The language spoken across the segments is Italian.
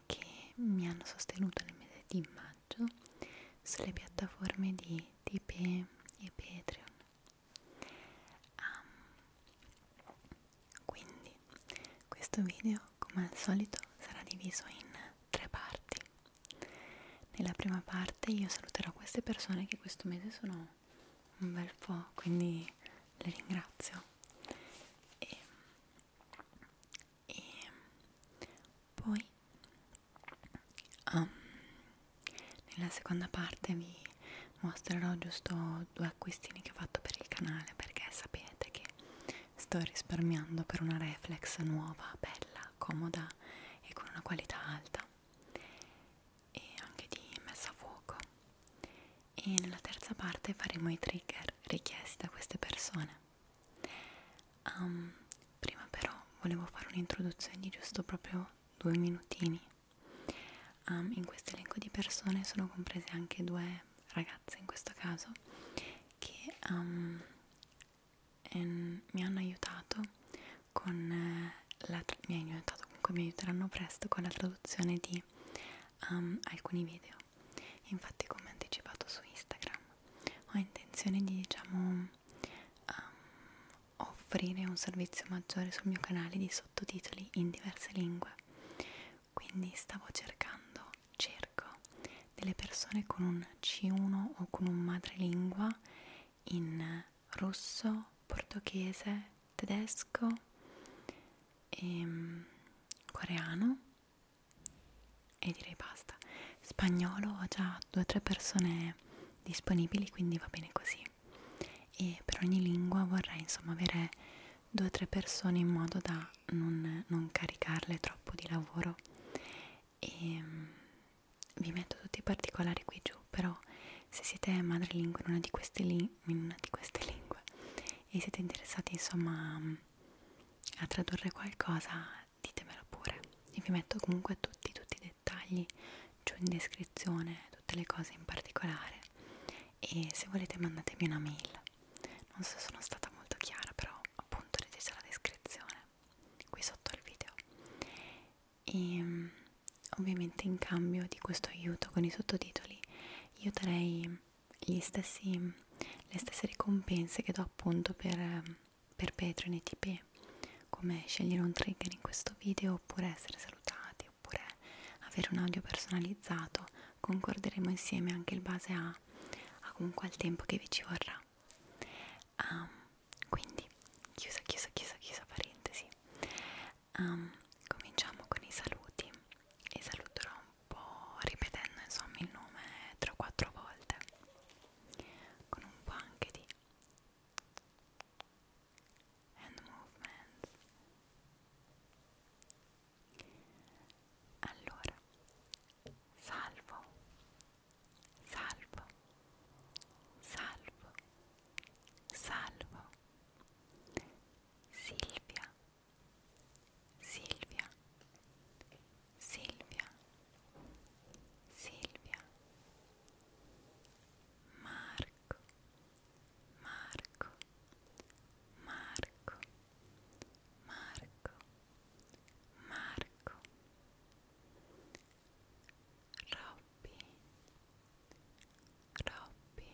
persone che mi hanno sostenuto nel mese di maggio sulle piattaforme di Tipeee e Patreon um, quindi questo video come al solito sarà diviso in tre parti nella prima parte io saluterò queste persone che questo mese sono un bel po' quindi le ringrazio e e poi um, nella seconda parte vi mostrerò giusto due acquistini che ho fatto per il canale perché sapete che sto risparmiando per una reflex nuova, bella, comoda e con una qualità alta e anche di messa a fuoco e nella terza parte faremo i trigger richiesti da queste persone. Um, prima però volevo fare un'introduzione di giusto proprio due minutini. Um, in questo elenco di persone sono comprese anche due ragazze in questo caso che um, ehm, en, mi hanno aiutato con eh, la mi hanno aiutato comunque mi aiuteranno presto con la traduzione di um, alcuni video video infatti come anticipato su Instagram ho intenzione di diciamo um, offrire un servizio maggiore sul mio canale di sottotitoli in diverse lingue quindi stavo cercando cerco delle persone con un C1 o con un madrelingua in russo, portoghese, tedesco e ehm, coreano e direi basta spagnolo ho già due o tre persone disponibili quindi va bene così e per ogni lingua vorrei insomma avere due o tre persone in modo da non, non caricarle troppo di lavoro e ehm, vi metto tutti i particolari qui giù però se siete madrelingua in una di queste, li in una di queste lingue e siete interessati insomma a tradurre qualcosa ditemelo pure e vi metto comunque tutti tutti i dettagli giù in descrizione tutte le cose in particolare e se volete mandatemi una mail non so se sono stata molto chiara però appunto leggete la descrizione qui sotto al video e ehm, ovviamente in cambio di questo aiuto con i sottotitoli io darei stessi, le stesse ricompense che do appunto per, per Patreon e TP come scegliere un trigger in questo video oppure essere salutati oppure avere un audio personalizzato concorderemo insieme anche in base a, a comunque al tempo che vi ci vorrà um, quindi chiusa chiusa chiusa chiusa parentesi um, cominciamo con i saluti e saluterò un po' ripetendo insomma il nome 3 o 4 volte con un po' anche di hand movement allora salvo salvo salvo salvo Silvia Silvia, Silvia, Silvia, Marco, Marco, Marco, Marco, Marco, Robby, Robby,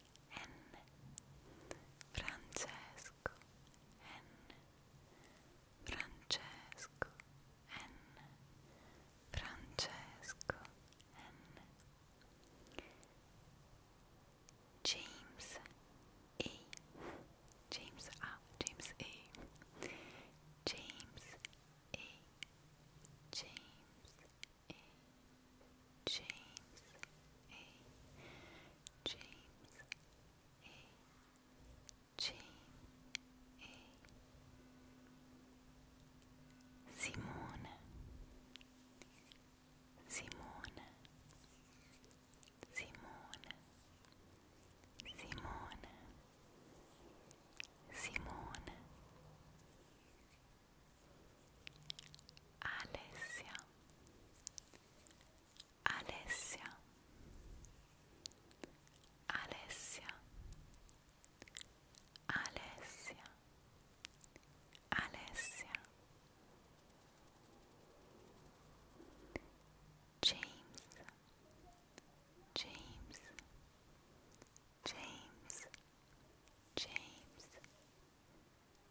N Francesco N Francesco N Francesco N James A James A James A James A James a James A James A James A Simone Simone Simone Simone Simone Alessia Alessia Alessia Alessia Alessia James James James James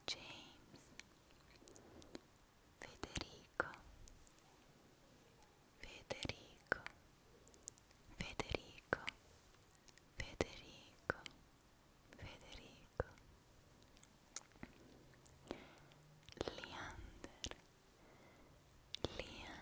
James Federico Federico Federico Federico Federico Leander Leander Leander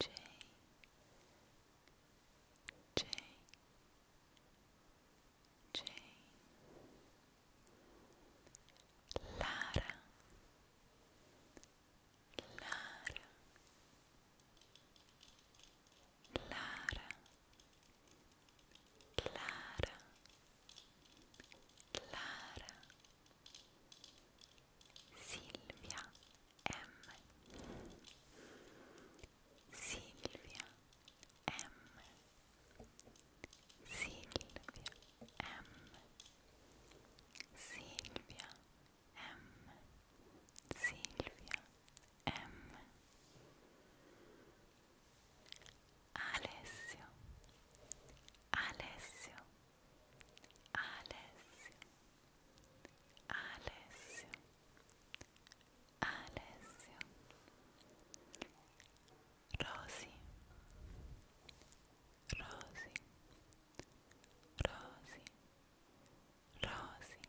J J J Lara Lara Lara Lara Lara Silvia M Silvia M Silvia M Silvia M Silvia M Alessio Alessio alles, alles, alles, Rosie, Rosie, Rosie, Rosie, Rosie.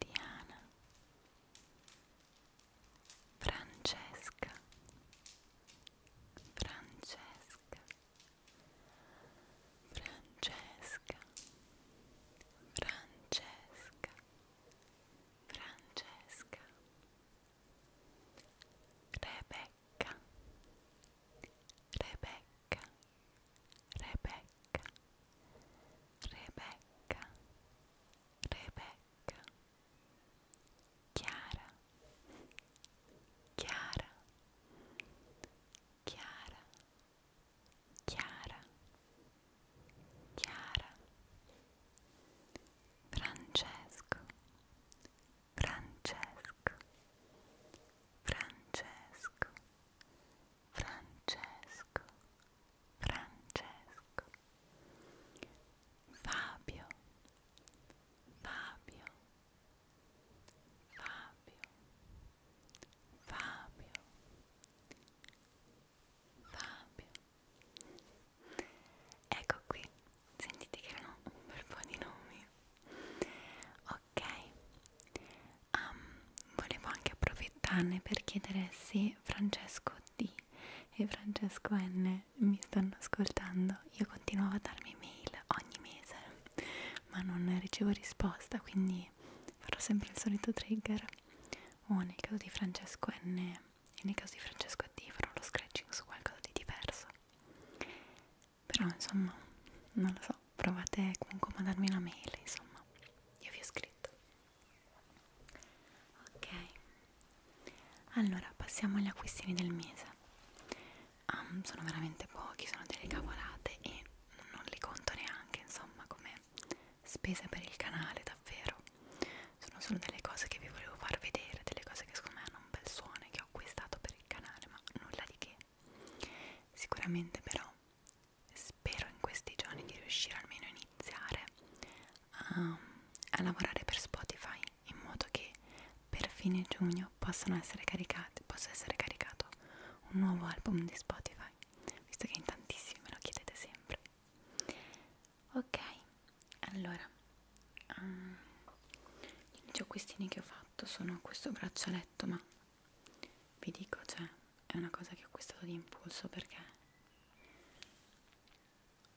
Diana, Francesca, Francesca, Francesca, Francesca, Francesca, Rebecca, Rebecca, Rebecca, Rebecca, Rebecca, Chiara, Chiara, Chiara, Chiara, Chiara, Francesco, Francesco, Francesco. Francesco, Francesco, Fabio, Fabio, Fabio, Fabio, Fabio. Ecco qui, sentite che erano un bel po' di nomi. Ho ok um, volevo anche approfittarne per chiedere se Francesco D e Francesco N mi stanno ascoltando io continuavo a darmi mail ogni mese ma non ricevo risposta quindi farò sempre il solito trigger o nel caso di Francesco N e nel caso di Francesco D farò lo scratching su qualcosa di diverso però insomma non lo so provate comunque a mandarmi una mail insomma io vi ho scritto ok allora passiamo agli acquistini del mese um, sono veramente pochi sono delle cavolate e non li conto neanche insomma come spese per il canale davvero sono solo delle cose che vi volevo far vedere delle cose che secondo me hanno un bel suono e che ho acquistato per il canale ma nulla di che Sicuramente però spero in questi giorni di riuscire almeno a iniziare a, a lavorare per Spotify in modo che per fine giugno possano essere caricati, possa essere caricato un nuovo album di Spotify, visto che in tantissimi me lo chiedete sempre. Ok, allora um, gli gioquistini che ho fatto sono questo braccialetto ma vi dico cioè è una cosa che ho acquistato di impulso perché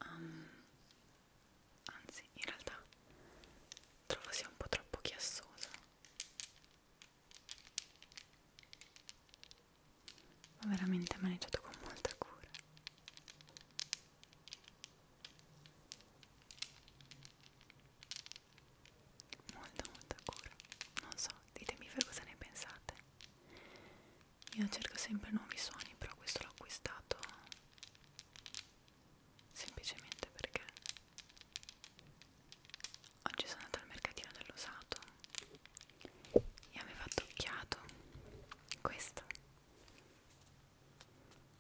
um, anzi in realtà trovo sia un po' troppo chiassoso ho veramente maneggiato con molta cura molta molta cura non so ditemi voi cosa ne pensate io cerco sempre nuovi suoni però questo l'ho acquistato semplicemente perché oggi sono andata al mercatino dell'usato e aveva tocchiato questo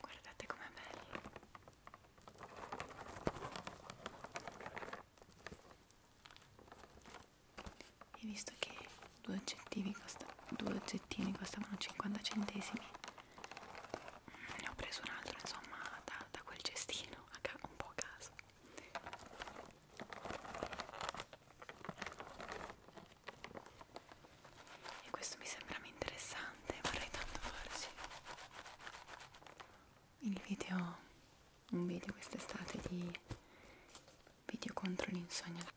Guardate com'è bello. E visto che due oggettini, costa, due oggettini costavano 50 centesimi, mm, ne ho preso un altro insomma da, da quel cestino, un po' a caso e questo mi sembra interessante vorrei tanto farci il video un video quest'estate di video contro l'insonnia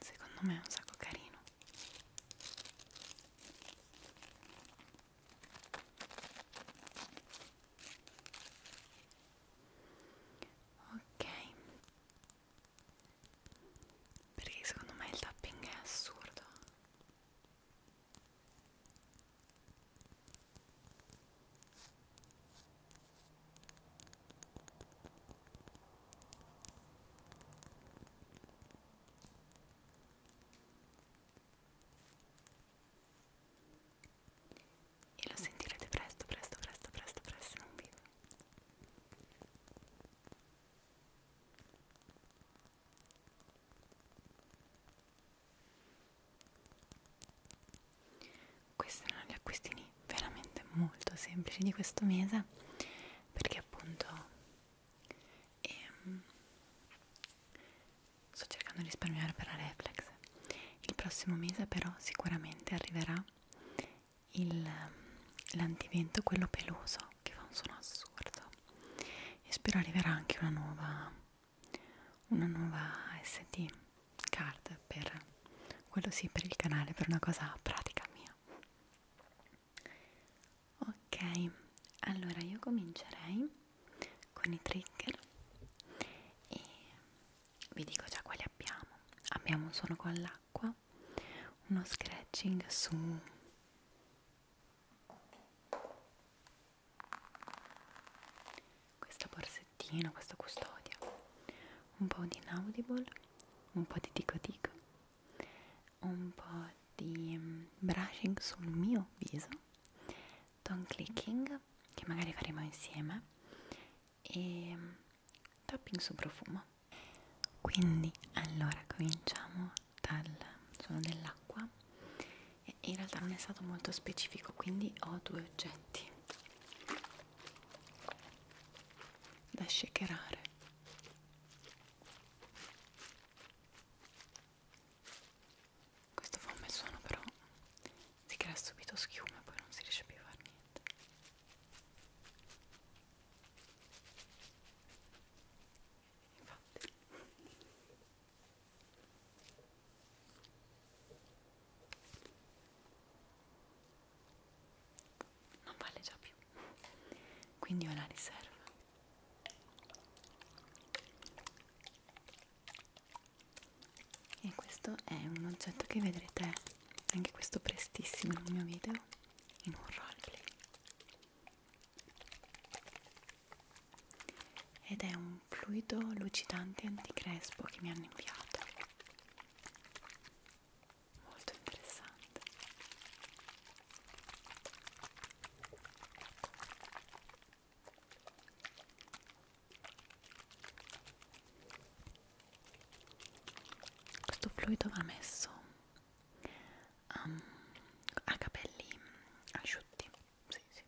secondo me è un sacco carino ok perché secondo me il tapping è assurdo e lo sentirete presto, presto, presto, presto, presto in un video. Questi erano gli acquistini veramente molto semplici di questo mese perché appunto ehm, sto cercando di risparmiare per la reflex. Il prossimo mese però sicuramente arriverà ehm, l'antivento, quello peloso che fa un suono assurdo e spero arriverà anche una nuova una nuova SD card per quello sì per il canale, per una cosa pratica mia. Ok, allora io comincerei con i trigger e vi dico già quali abbiamo. Abbiamo un suono con l'acqua, uno scratching su questa borsettina, questa custodia, un po' di inaudible, un po' di tico tico, un po' di mm, brushing sul mio viso, tongue clicking che magari faremo insieme e mm, topping su profumo. Quindi allora cominciamo dal suono dell'acqua e in realtà non è stato molto specifico quindi ho due oggetti da shakerare questo fa un bel suono però si crea subito schiuma e poi non si riesce più a fare niente infatti non vale già più quindi ho la riserva e questo è un oggetto che vedrete anche questo prestissimo nel mio video in un roleplay ed è un fluido lucidante anticrespo che mi hanno inviato molto interessante questo fluido va messo um, a capelli mm, asciutti sì, sì.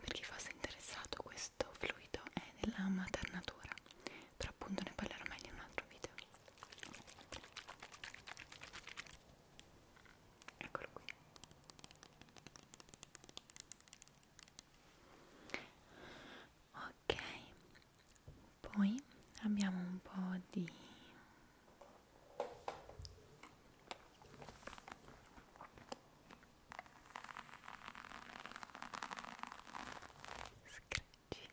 Per chi fosse interessato questo fluido è della maternatura, però appunto ne parlerò meglio in un altro video. Eccolo qui. Ok, poi abbiamo un po' di scratching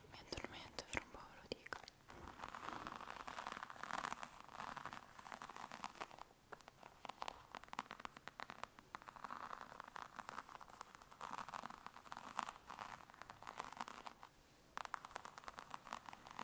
Mi addormento fra un po', ve lo dico.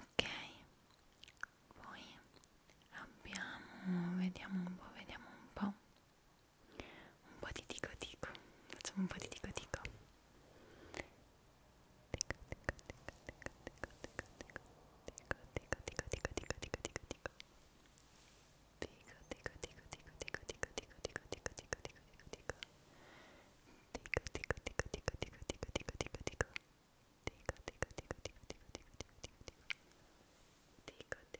Ok, poi abbiamo, vediamo un po', vediamo un po' un po' di tico tico facciamo un po' di tico tico tico tico tico tico tico tico tico tico tico tico tico tico tico Dico,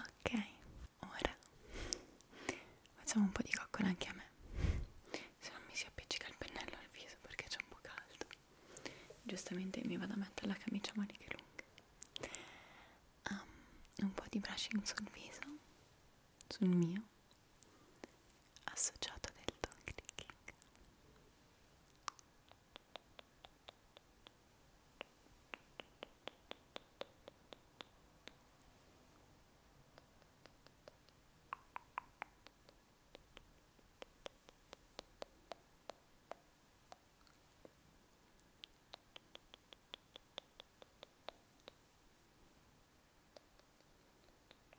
Ok, ora facciamo un po' di coccola anche a me, se non mi si appiccica il pennello al viso perché c'è un po' caldo. Giustamente mi vado a mettere la camicia a maniche lunghe. Um, un po' di brushing sul viso, sul mio associato del tongue clicking Ora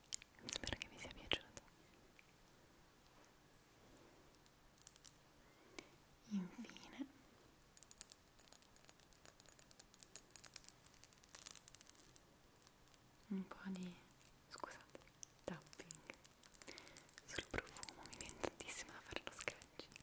spero che vi sia piaciuto infine un po' di scusate tapping sul profumo mi viene tantissimo da fare lo scratching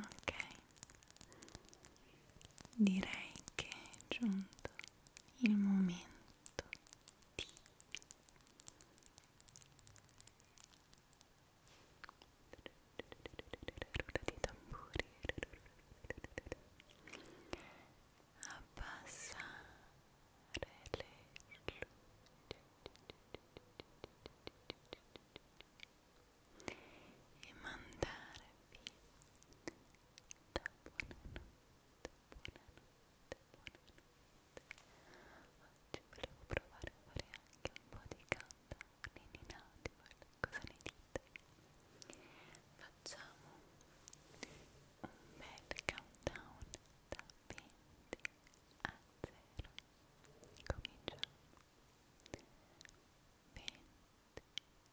Ok, direi che è giunto il momento T rulla di tamburi abbassare le luci e mandarvi la buonanotte buonanotte, buonanotte. Oggi volevo provare a fare anche un po' di countdown in inaudible, cosa ne dite? Facciamo un bel countdown da 20 a 0. Cominciamo. 20 9 8 7 6 5 4 3 2 1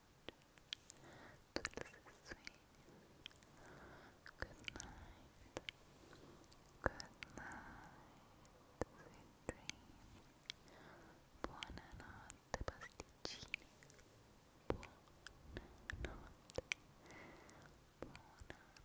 buonanotte pasticcini buonanotte buonanotte buonanotte